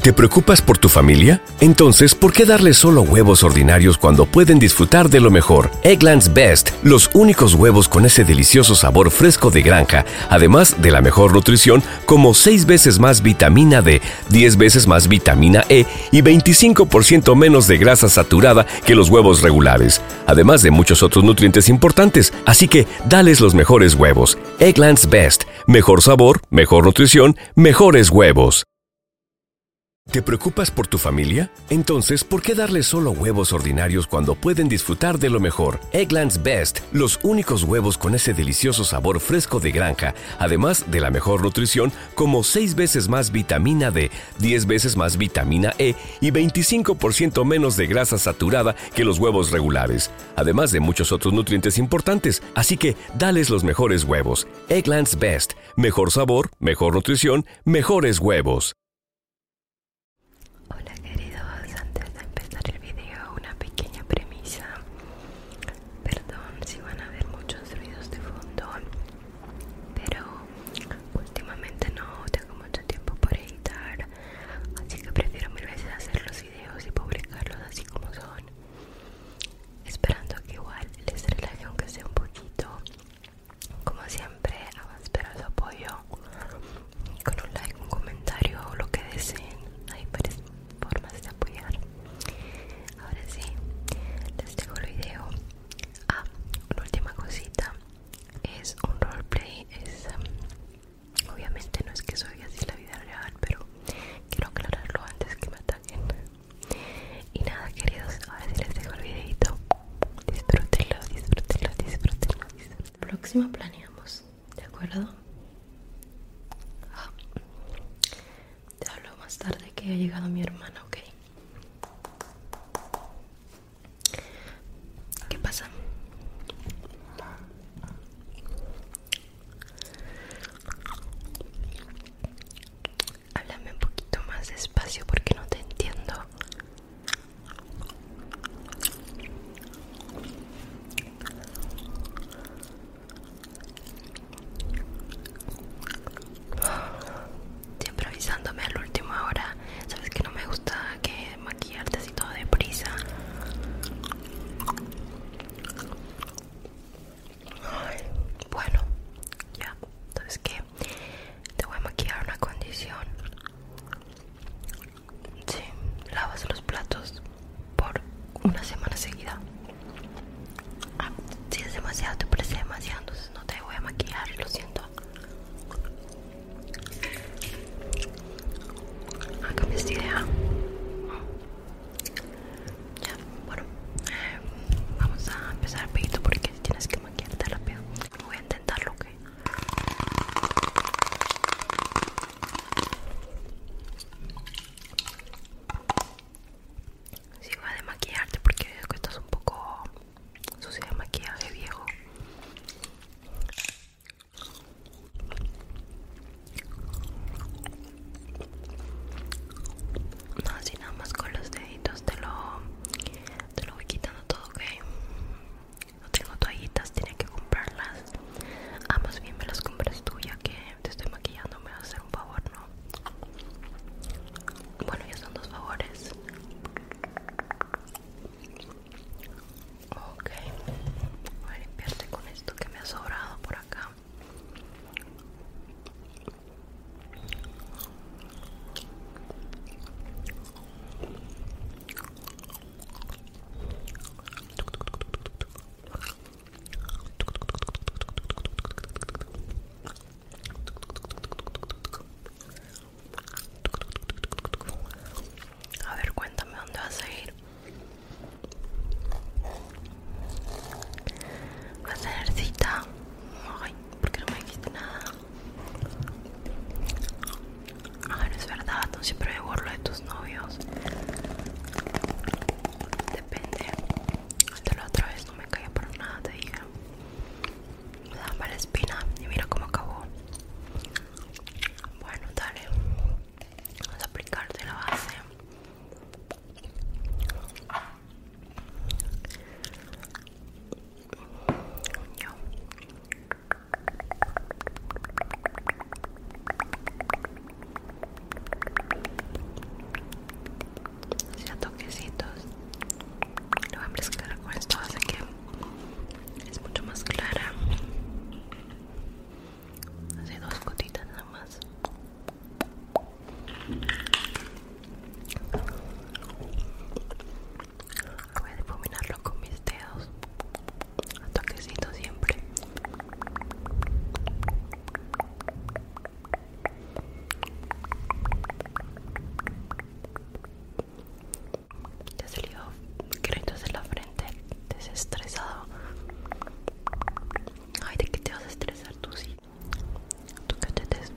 ¿Te preocupas por tu familia? Entonces, ¿por qué darle solo huevos ordinarios cuando pueden disfrutar de lo mejor? Eggland's Best, los únicos huevos con ese delicioso sabor fresco de granja, además de la mejor nutrición, como 6 veces más vitamina D, 10 veces más vitamina E y 25% menos de grasa saturada que los huevos regulares, además de muchos otros nutrientes importantes. Así que, dales los mejores huevos. Eggland's Best, mejor sabor mejor nutrición, mejores huevos. ¿Te preocupas por tu familia? Entonces, ¿por qué darle solo huevos ordinarios cuando pueden disfrutar de lo mejor? Eggland's Best, los únicos huevos con ese delicioso sabor fresco de granja, además de la mejor nutrición, como 6 veces más vitamina D, 10 veces más vitamina E y 25% menos de grasa saturada que los huevos regulares además de muchos otros nutrientes importantes. Así que dales los mejores huevos. Egglands Best. Mejor sabor, mejor nutrición, mejores huevos. Hola queridos, antes de empezar el video una pequeña premisa. Perdón si van a ver muchos ruidos de fondo, pero últimamente no tengo mucho tiempo para editar, así que prefiero mil veces hacer los videos y publicarlos así como son. Esperando que igual les relaje aunque sea un poquito. Como siempre, a su apoyo con un like, un comentario o lo que deseen. Hay varias formas de apoyar. Ahora sí, les dejo el video. Ah, una última cosita. Es un roleplay, es Obviamente no es que soy así la vida real, pero quiero aclararlo antes que me ataquen. Y nada, queridos, ver si les dejo el videito. Disfrútenlo, disfrútenlo, disfrútenlo. Próximo planeamos, ¿de acuerdo? Ah, te hablo más tarde que ha llegado mi hermana, ¿ok? ¿Qué pasa? Háblame un poquito más despacio porque no te entiendo. Siempre avisándome al último hora Sabes que no me gusta que maquillarte así todo deprisa bueno, ya. Entonces, que Te voy a maquillar una condición. Sí, lavas los platos por una semana seguida. Ah, si es demasiado, te parece demasiado, entonces no te voy a maquillar, lo siento me estoy de idea. bueno, vamos a empezar pedito porque tienes que maquillarte rápido. Voy a intentarlo, ¿ok? Si sí, voy a desmaquillarte porque veo que estás un poco Sucio de maquillaje viejo. No, así nada más con los deditos te lo, te lo voy quitando todo, ¿ok? No tengo toallitas, tiene que comprarlas. Ah, más bien me las compras tú ya que te estoy maquillando, me vas a hacer un favor, ¿no? Bueno, ya son dos favores. Okay, voy a limpiarte con esto que me ha sobrado por acá. A ver, cuéntame dónde vas a ir. ¿Vas a tener cita? Ay, ¿por qué no me dijiste nada? Ah, no es verdad, no siempre me lo de tus novios. Depende. de la otra vez no me caía por nada, te dije. Me daba mala espina y mira cómo acabó. Bueno, dale. Vamos a aplicarte la base. Ya toquecitos. Lo voy a mezclar con esto así que es mucho más clara hace dos gotitas nada más voy a difuminarlo con mis dedos a toquecito siempre ya salió créditos de la frente, desestresado. Ay, ¿de qué te vas a estresar tú sí? tú te des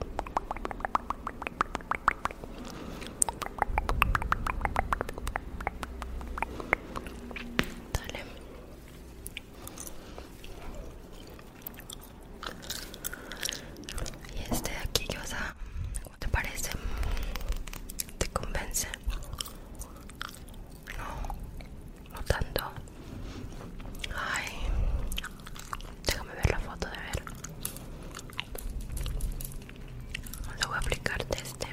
Dale. Y este de aquí que vas a te parece? ¿Te convence? No, no tanto. Ay, déjame ver la foto de ver. Lo voy a aplicarte este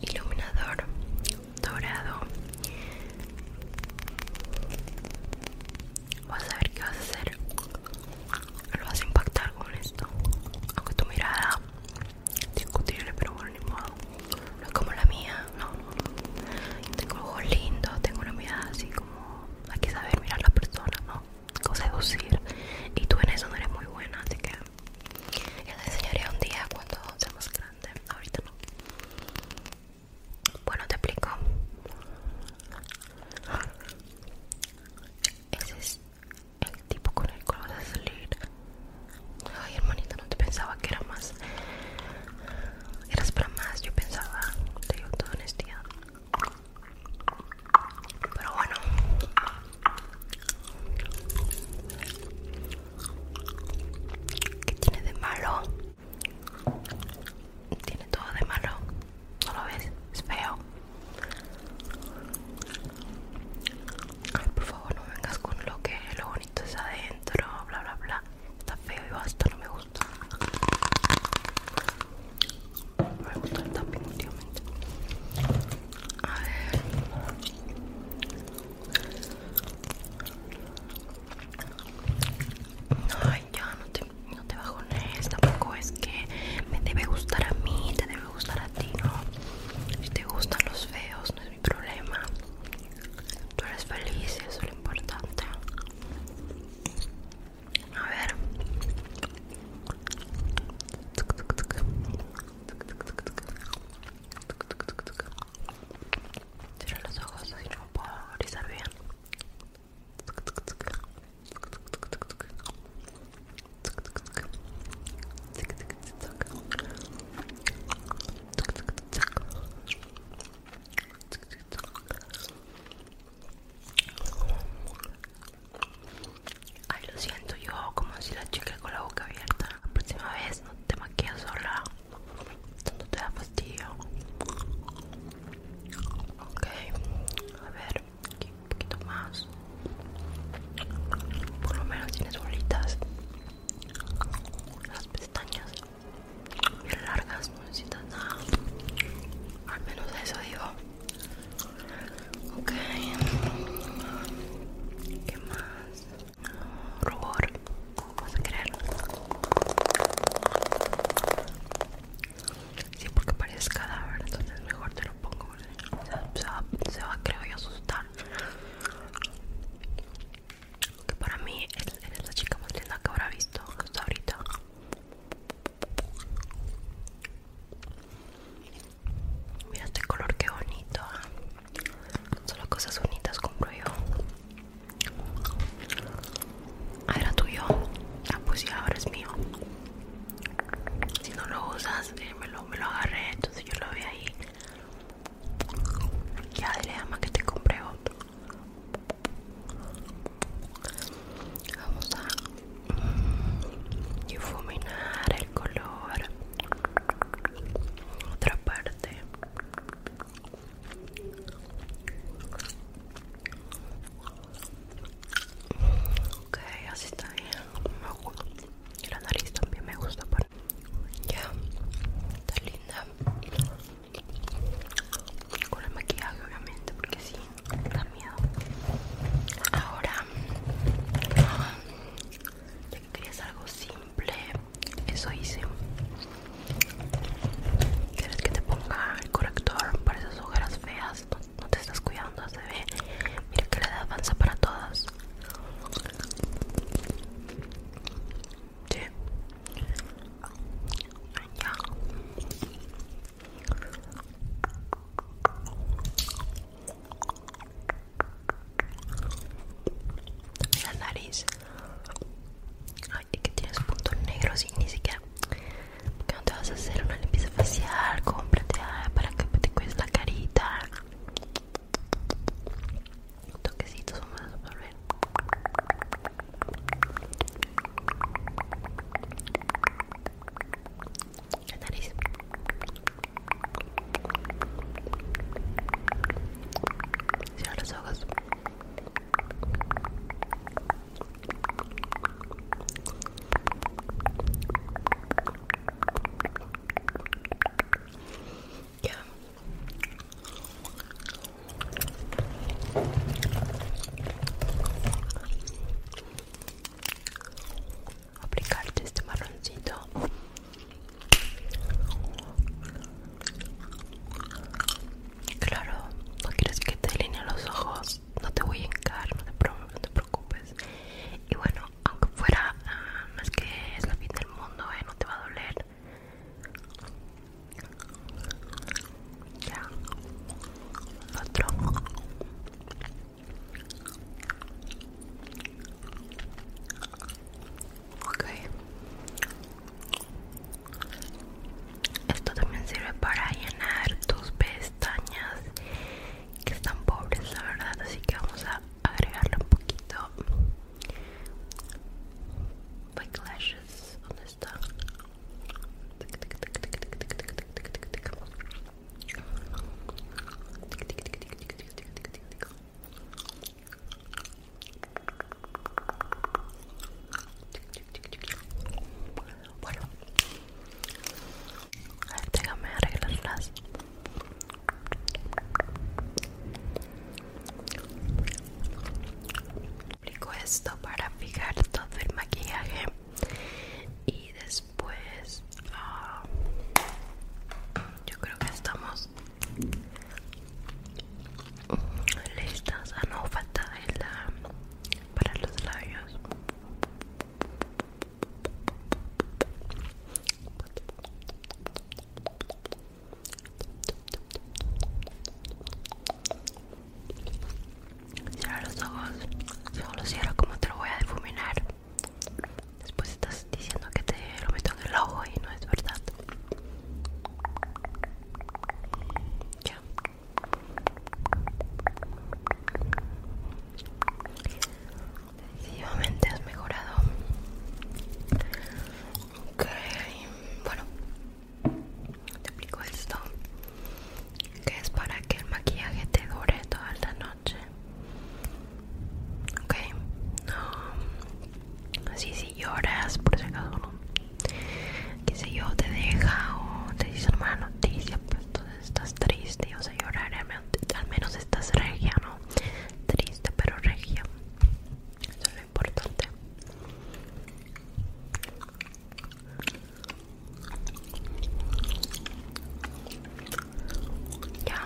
iluminador dorado. Vas a ver qué vas a hacer lo vas a impactar con esto aunque tu mirada discutible pero bueno ni modo no es como la mía no, no. tengo ojos lindos tengo una mirada así como hay que saber mirar a la persona no o seducir y tú en eso no eres muy buena así que yo te enseñaría un día cuando seamos más ahorita no bueno te explico ese es el tipo con el cual vas a salir. Ay, hermanita, no te pensaba que era más. Eras para más, yo pensaba, te digo toda honestidad. Pero bueno. ¿Qué tiene de malo? Tiene todo de malo. ¿No lo ves? Es feo. Ay, por favor, no vengas con lo que lo bonito es adentro, bla bla bla. Está feo y basta, no me gusta. No me gusta el tapping últimamente. A ver. Ay, ya no te, no te bajones. Tampoco es que me debe gustar a mí, te debe me gusta a ti, Si te gustan los feos, no es mi problema. Tú eres feliz, eso es lo importante. A ver. Tira los ojos, así no puedo grisar bien. Ay, lo siento yo como si la chica con la boca abierta. La próxima vez no te maquillas sola. No te da fastidio. Ok, a ver. Aquí un poquito más. Por lo menos tienes bolitas. Las pestañas largas, no necesitas nada. Al menos eso digo. Ok. ¿Qué más? Rubor. ¿Vas a querer? Sí, porque parece cadáver, entonces mejor te lo pongo. se, va, se va, creo yo, asustar. Que para mí es la chica más linda que habrá visto hasta ahorita. Mira este color, que bonito. ¿ah? Solo cosas bonitas compro yo. Ah, era tuyo. Ah, pues ya ahora es mío. Si no lo usas, eh, me, lo, me lo agarré, entonces yo lo vi ahí. Ya dile ama que te compré otro. Vamos a mm, difuminar el color. Otra parte. Ok, así está bien. Me gusta. Y la nariz también me gusta. Ya, está linda. Con el maquillaje, obviamente, porque sí, da miedo. Ahora, ya que querías algo simple, eso hice. ¿Quieres que te ponga el corrector para esas ojeras feas? no, te estás cuidando, se ve. Mira que la edad avanza para todas. Sí. Ya. La nariz. Ay, que tienes puntos negros y ni siquiera cuando te vas a hacer una limpieza facial, cómprate ah, para que te cuides la carita. Toquecitos vamos a absorber. La nariz. Cierra los ojos. Aplicarte este marroncito. Claro, no quieres que te delineen los ojos no te voy a hincar no te, preocupes y bueno aunque fuera uh, más que es la fin del mundo eh, no te va a doler ya otro ok esto también sirve para llenar tus pestañas que están pobres, la verdad. Así que vamos a agregarle un poquito. Like lashes, ¿dónde está? Bueno, déjame arreglarlas. Aplico esto para fijar todo el maquillaje y después ah, yo creo que estamos listas a ah, no falta el, ah, para los labios Cierra los ojos, solo cierro como te lo voy a difuminar Después estás diciendo que te lo meto en el ojo y no es verdad Ya Definitivamente has mejorado. Ok, bueno, te explico esto que es para que el maquillaje te dure toda la noche. Ok, no, así si lloras, por si acaso no. Que si yo, te deja o te dice mala noticia, pues entonces estás triste, o sea, llorar, al menos estás regia, ¿no? Triste, pero regia. Eso es lo importante. Ya.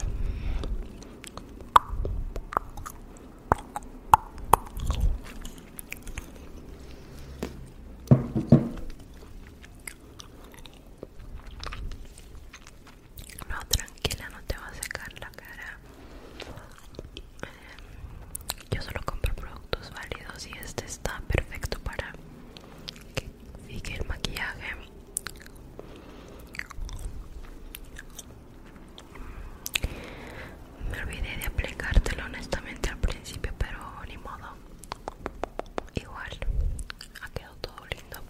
No, tranquila, no te va a secar la cara. Eh, yo solo compro productos válidos y este está perfecto para que fique el maquillaje. Me olvidé de aplicártelo honestamente al principio, pero ni modo. Igual ha quedado todo lindo.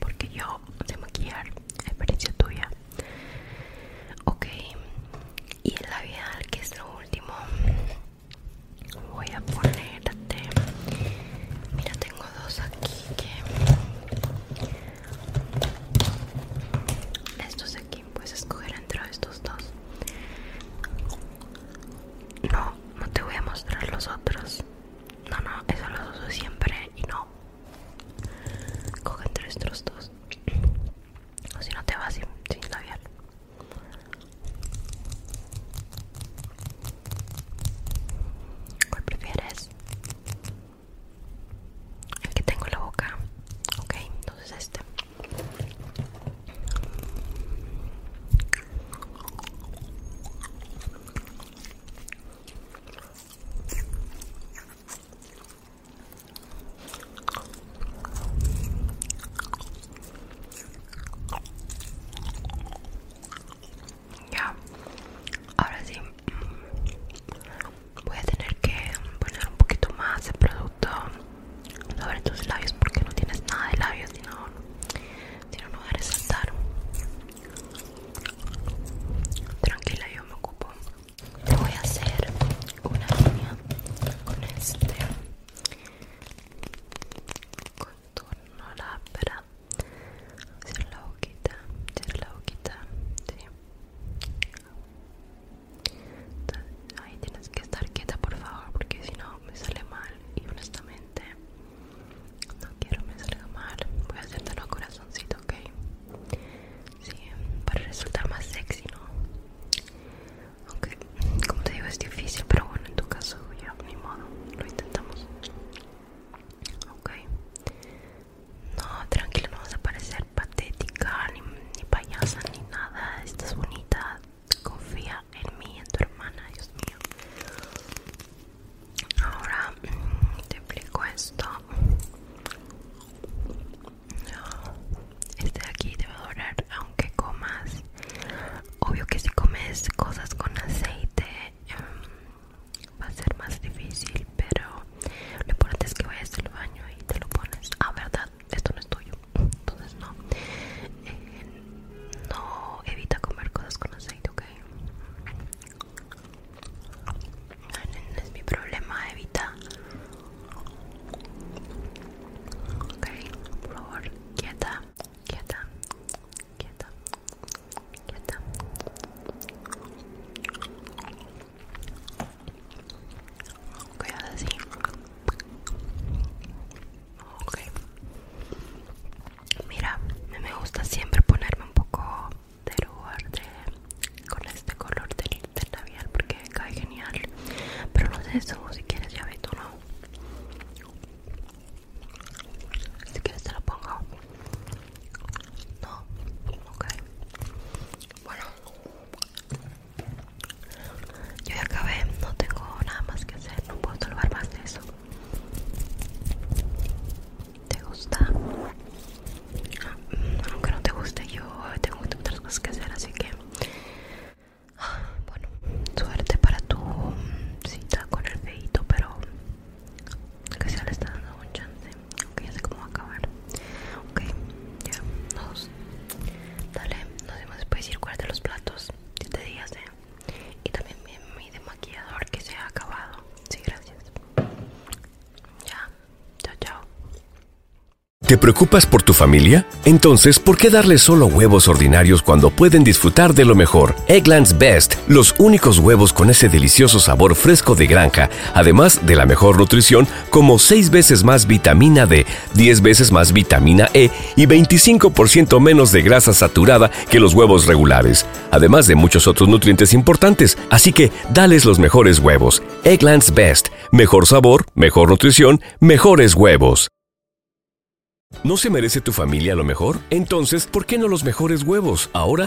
Porque yo de maquillar, experiencia tuya. Ok, y el labial que es lo último. Voy a ponerte. Mira, tengo dos aquí que. Estos aquí puedes escoger entre estos dos no no te voy a mostrar los otros no no eso los uso siempre y no coge entre estos dos o si no te vas sin labial ¿Cuál prefieres? que tengo la boca ok entonces este ya ahora sí voy a tener que poner un poquito más de producto sobre tus labios porque no tienes nada de labios sino no, lugar de a tranquila yo me ocupo te voy a hacer una línea con este contorno hacer la boquita hacer la boquita sí ahí tienes que estar quieta, por favor, porque si no me sale mal. Y honestamente, no quiero me salga mal. Voy a hacerte a corazoncito, ok? Sí, para resultar más sexy, ¿no? Aunque, como te digo, es difícil, pero bueno, en tu caso, ya, ni modo, lo intentamos. Ok, no, tranquila, no vas a parecer patética, ni, payasa, ni nada. Estás bonita. Confía en mí, en tu hermana, Dios mío. Ahora mm, te explico esto. Este de aquí te va a doler aunque comas. Obvio que si comes cosas con aceite, em, va a ser más difícil pero lo importante es que vayas al baño y te lo pones ah verdad esto no es tuyo entonces no eh, no evita comer cosas con aceite ok ah, no es mi problema evita ok por favor quieta quieta quieta quieta Okay, así. Ok. Mira, me gusta siempre ponerme un poco de lugar con este color del, labial porque cae genial. Pero no sé si quieres ya ve tú, ¿no? Si quieres te lo pongo. No, ok. Bueno, yo ya acabé, no tengo nada más que hacer, no puedo salvar más de eso. ¿Te gusta? Ah, aunque no te guste, yo tengo otras cosas que hacer, así que. Ah, bueno, suerte para tu cita con el feito, pero que se le está dando un chance Okay, ya sé cómo va a acabar ok ya dos. dale nos vemos después ir de los platos te digas eh y también mi, desmaquillador que se ha acabado sí gracias ya chao chao ¿Te preocupas por tu familia? Entonces, ¿por qué darles solo huevos ordinarios cuando pueden disfrutar de lo mejor? Eggland's Best, los únicos huevos con ese delicioso sabor fresco de granja además de la mejor nutrición como 6 veces más vitamina D, 10 veces más vitamina E y 25% menos de grasa saturada que los huevos regulares, además de muchos otros nutrientes importantes. Así que dales los mejores huevos. Egglands Best. Mejor sabor, mejor nutrición, mejores huevos. ¿No se merece tu familia lo mejor? Entonces, ¿por qué no los mejores huevos? Ahora